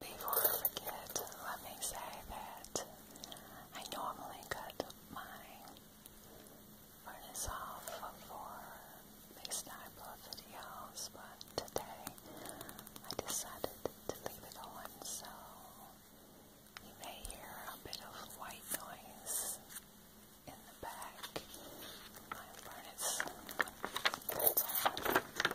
Before I forget, let me say that I normally cut my furnace off for these type of videos, but today I decided to leave it on, so you may hear a bit of white noise in the back. My furnace.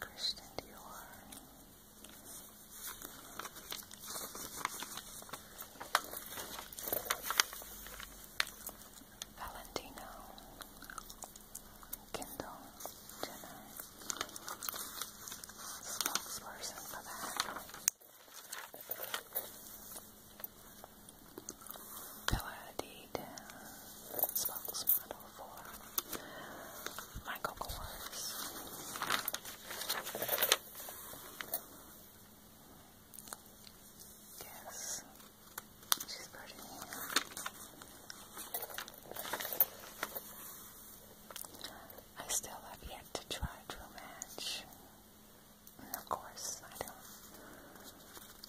Christian Dior. Valentino, Kindle, Jenner, spokesperson for that. Pillar Hadid Sparkles Model for Michael Kors. Yes, she's pretty. I still have yet to try Drew Match. of course, I don't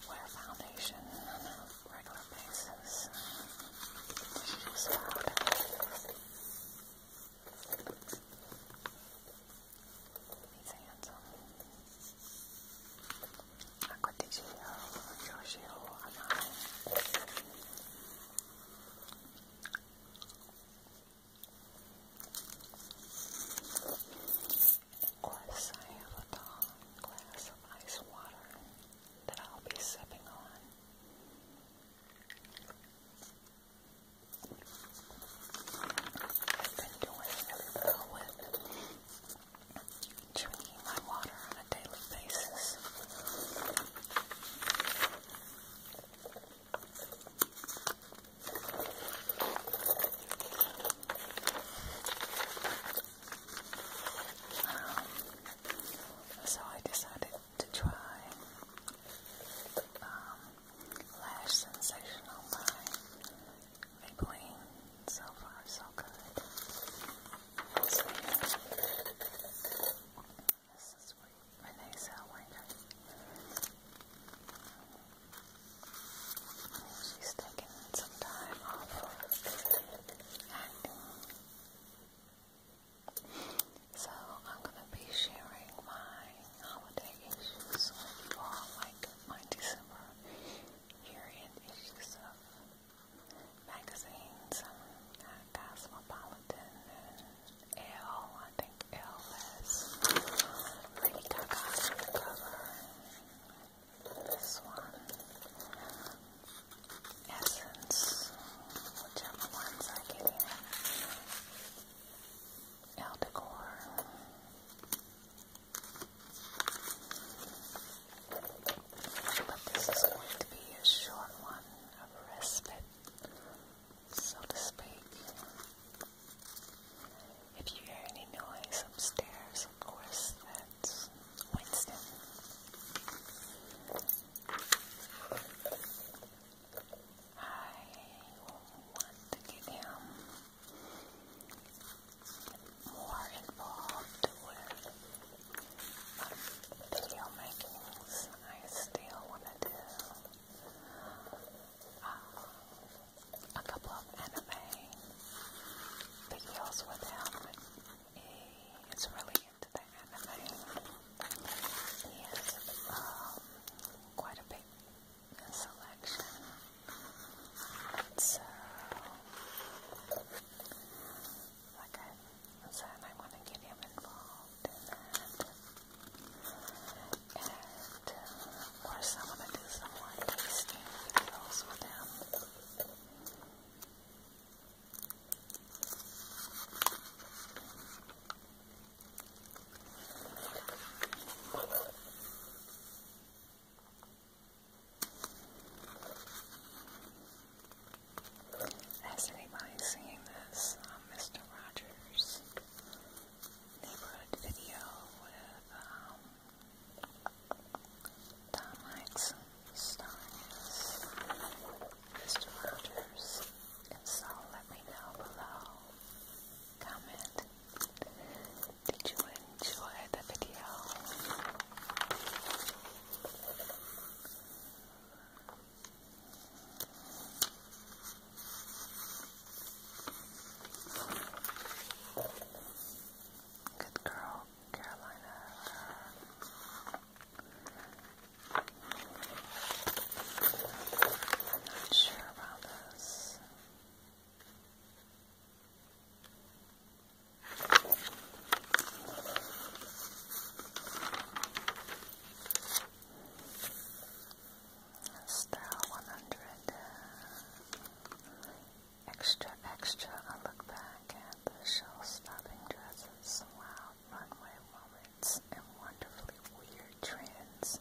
wear foundation on a regular basis. Just about He's handsome. Acquaticcio, Giorgio, Anai. Of course, I have a glass of ice water that I'll be sipping on. I've been doing really well with my water on a daily basis. Um, so I decided to try um, Lash Sensational by Maybelline. So far, so good. this is Renee Zellweger. She's taking some time off So I'm gonna be sharing my holiday issues with you all, like my December year-end issues of magazines, um, Cosmopolitan, and Elle, I think Elle has Lady Gaga this one, Essence, whichever ones I get in, but this is going to be a short one of respite, so to speak. If you hear any noise upstairs, of course, that's Winston. I want to get him more involved with um, video makings. I still want to do uh, a couple of anime videos with him. He's really into the anime. He has um, quite a big selection. So, like I said, I want to get him involved And, uh, of course, I want to do some more videos with him. Has anybody seen this Mr. Um, Rogers neighborhood video um, Dominic Starnes, Mr. Rogers, and so let me know below. Comment. Did you enjoy the video? Good girl, Carolina. I'm not sure about this. Star one hundred Extra, extra, I look back at the show stopping dresses, loud runway moments, and wonderfully weird trends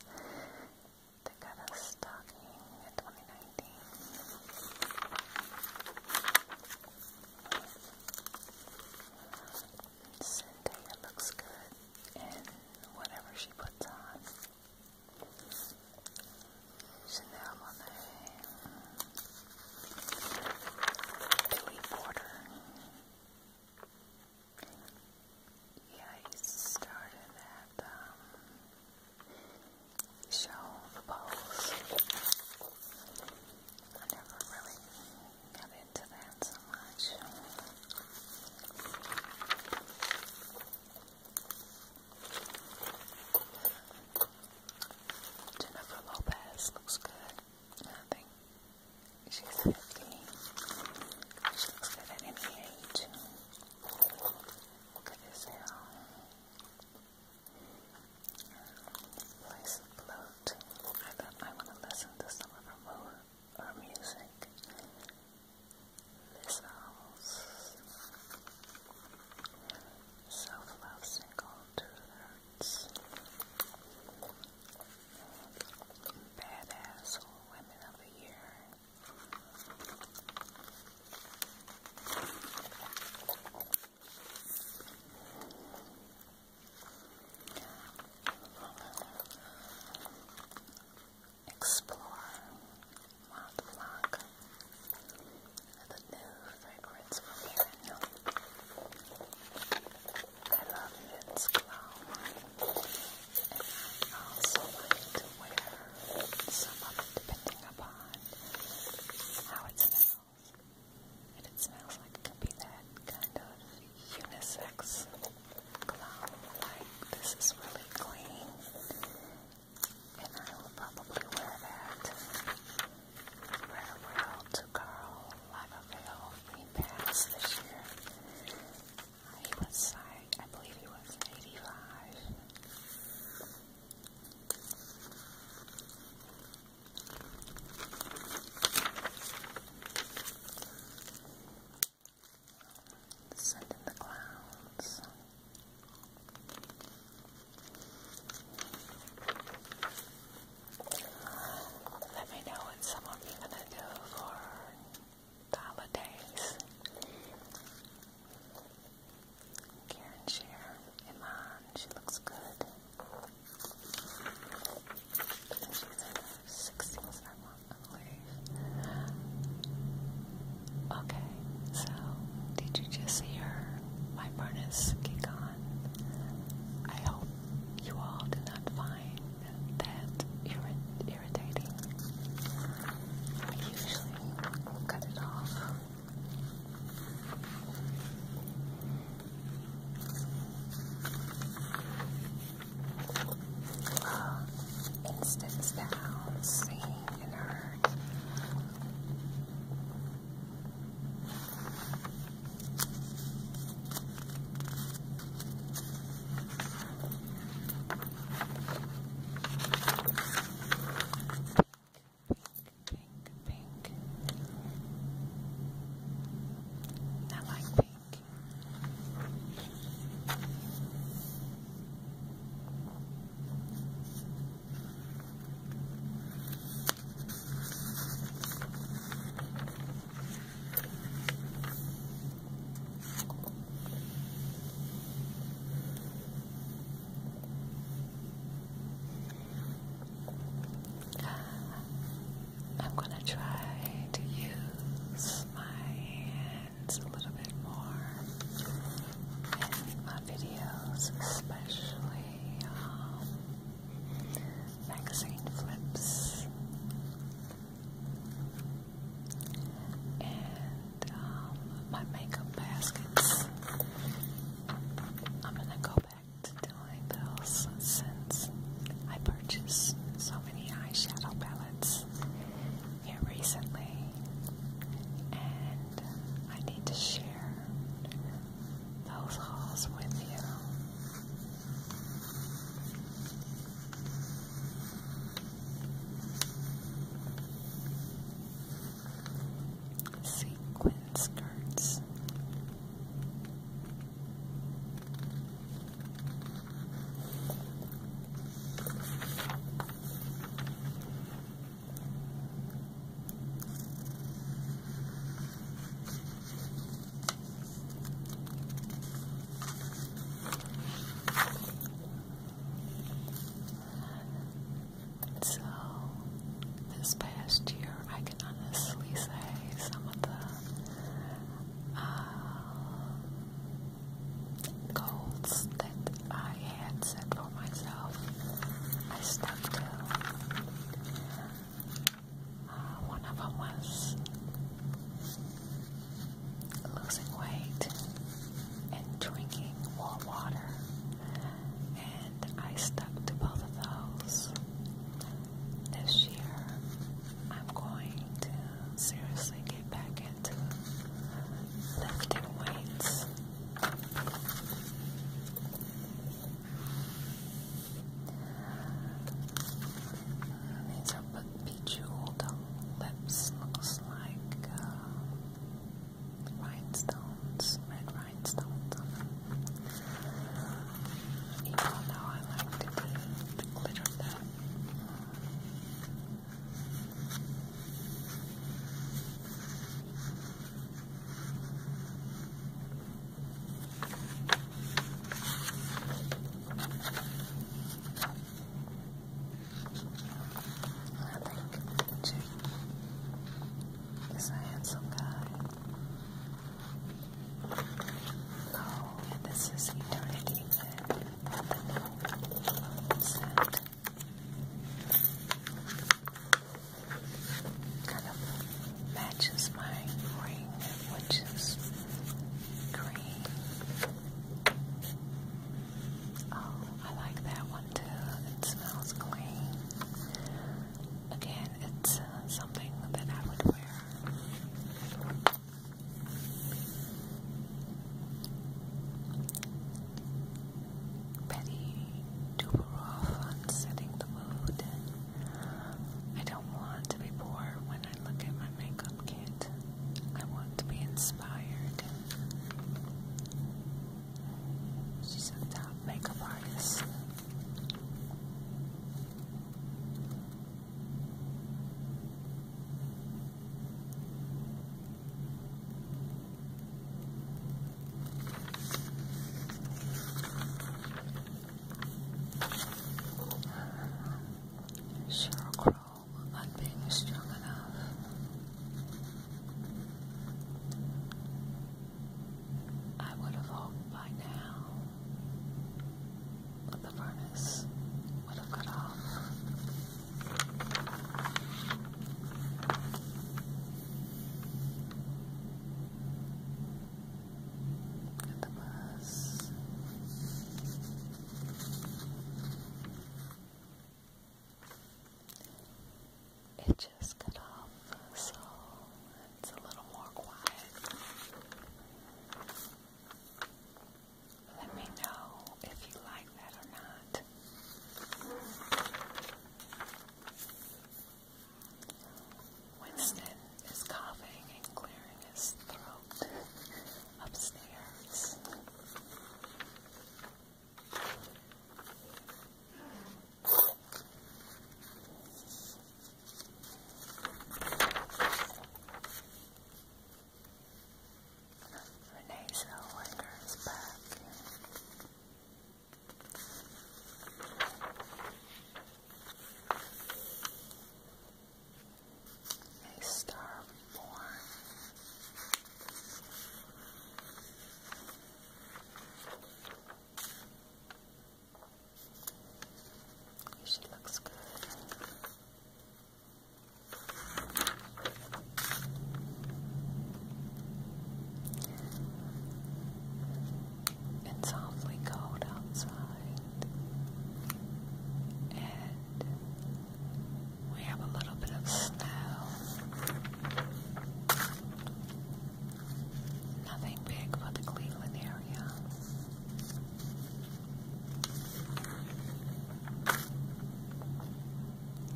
that got us talking in 2019. Zendaya looks good in whatever she puts on. Chanel Monae, Billy Porter. Yeah, I used at show the Balls. I never really got into that so much. Jennifer Lopez looks good. I think she's 15. She looks good at any age. Look at this hair. Voice float. I want to listen to some of her, her music missiles. Self love single two thirds. Badass women of the year explore Mont Blanc the new fragrance from Erin. I love men's cologne I also like to wear some of depending upon how it smells. it smells like it can be that kind of unisex cologne, like this is really clean and I will probably wear that. Wear to Carl Lagerfeld Green Pass this year. He was, I, I believe he was 85. The in the clouds. Let me know what some of you gonna do for holidays. Karen Shear, Iman, she looks good. She's in her 60s, I want Okay, so did you just hear my furnace kick on? I hope you all did not find that irritating. I usually cut it off. Uh, instant sounds, seeing and Pink, pink. I like pink. I'm going to try to use my hand it's a little bit more in my videos, especially um, magazine flips and um, my makeup baskets. I'm gonna go back to doing those since I purchased so many eyeshadow palettes here recently, and um, I need to share those hauls with you. Sequin skirts. So, this past year, I can honestly say some of the uh, goals that I had set for myself, I stuck to. Uh, one of them was losing weight and drinking more water, and I stuck to both of those. This year, I'm going to seriously get get back into lifting weights. These are bejeweled lips. Looks like uh, rhinestones, red rhinestones on them. Even I like to play glitter them. I like chicken. Yes, I had some guy. No, this is eternity. Man. Kind of matches my ring, which is green. Oh, I like that one too. It smells clean. Again, it's uh, something that I would wear. Betty Duberoff on setting the mood. I don't want to be poor when I look at my makeup kit. I want to be inspired. She's a top makeup artist. Cheryl Crow not being strong enough. I would have hoped by now that the furnace would have cut off. At the bus. It just cut off, so it's a little more quiet. Let me know if you like that or not. Winston is coughing and clearing his throat upstairs. Renee Zellweger is back. A star She looks good. It's awfully cold outside, and we have a little bit of snow. Nothing big for the Cleveland area.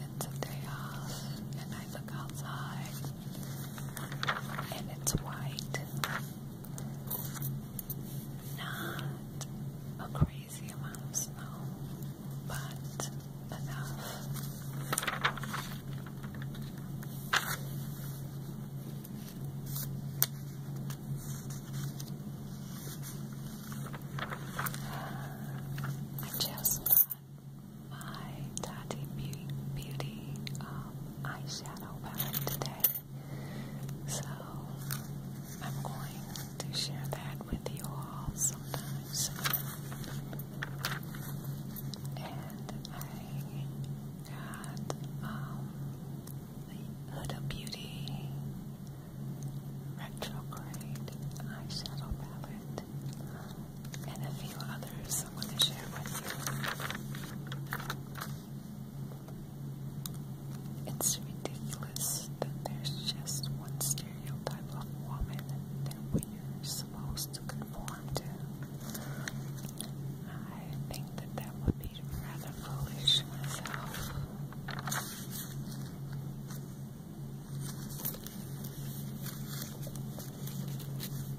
It's a day off, and I look outside, and it's white. Not a crazy amount of snow, but enough. Just my Daddy Beauty, Beauty um, eyeshadow palette today. So I'm going to share that with you all sometime soon. And I got um, the Huda Beauty retrograde eyeshadow palette, and a few others I'm going to share with you. It's ridiculous that there's just one stereotype of woman that we're supposed to conform to. I think that that would be rather foolish myself.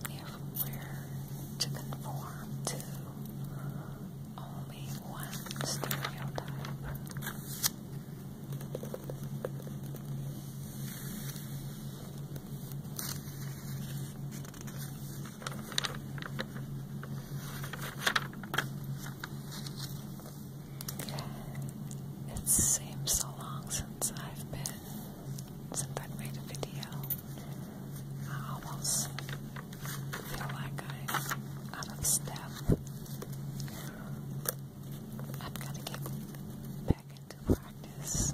If we're to conform to only one stereotype, it seems so long since I've been, since I've made a video. I almost feel like I'm out of step. I've got to get back into practice.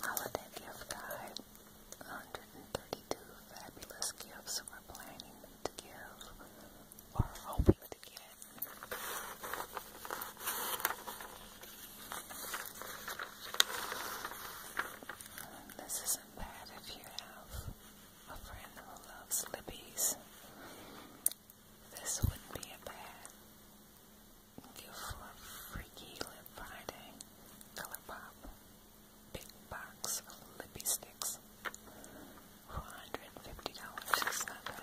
Holiday gift guide. 132 fabulous gifts we're planning to give or hoping to get. this isn't bad if you have a friend who loves Libby's. This wouldn't be a bad Thank you for Freaky Lip Friday Color Big Box of Sticks. $450. It's not bad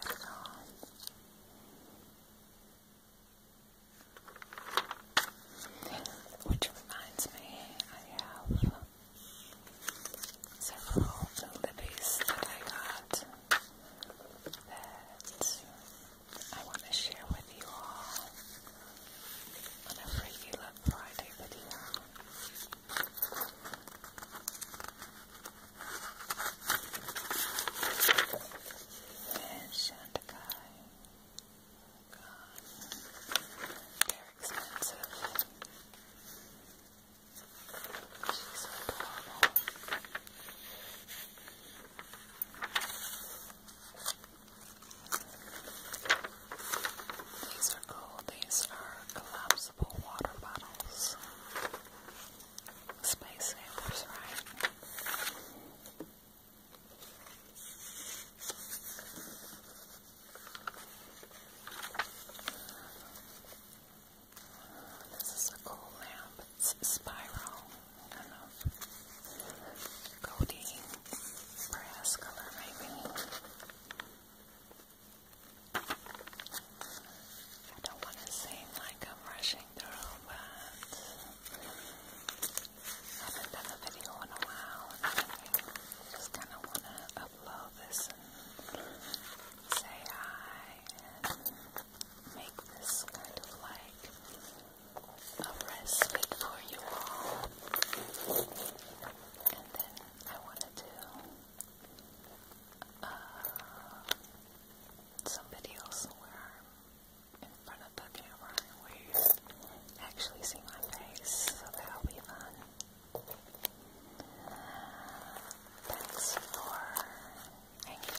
Which reminds me, I have several Libby's that I got that I want to share with you all on a Freaky Love Friday video. There's Shantikai. God. They're expensive. She's adorable. These are cool. These are collapsible water bottles. Space samples, right? This is a cool lamp. Spiral, I don't brass color maybe. I don't want to seem like I'm rushing through, but I haven't done a video in a while, and I just kind of want to upload this and say hi make this kind of like a respite for you all. And then I want to do uh, some videos where I'm in front of the camera where you actually see my face, so that'll be fun. Thanks for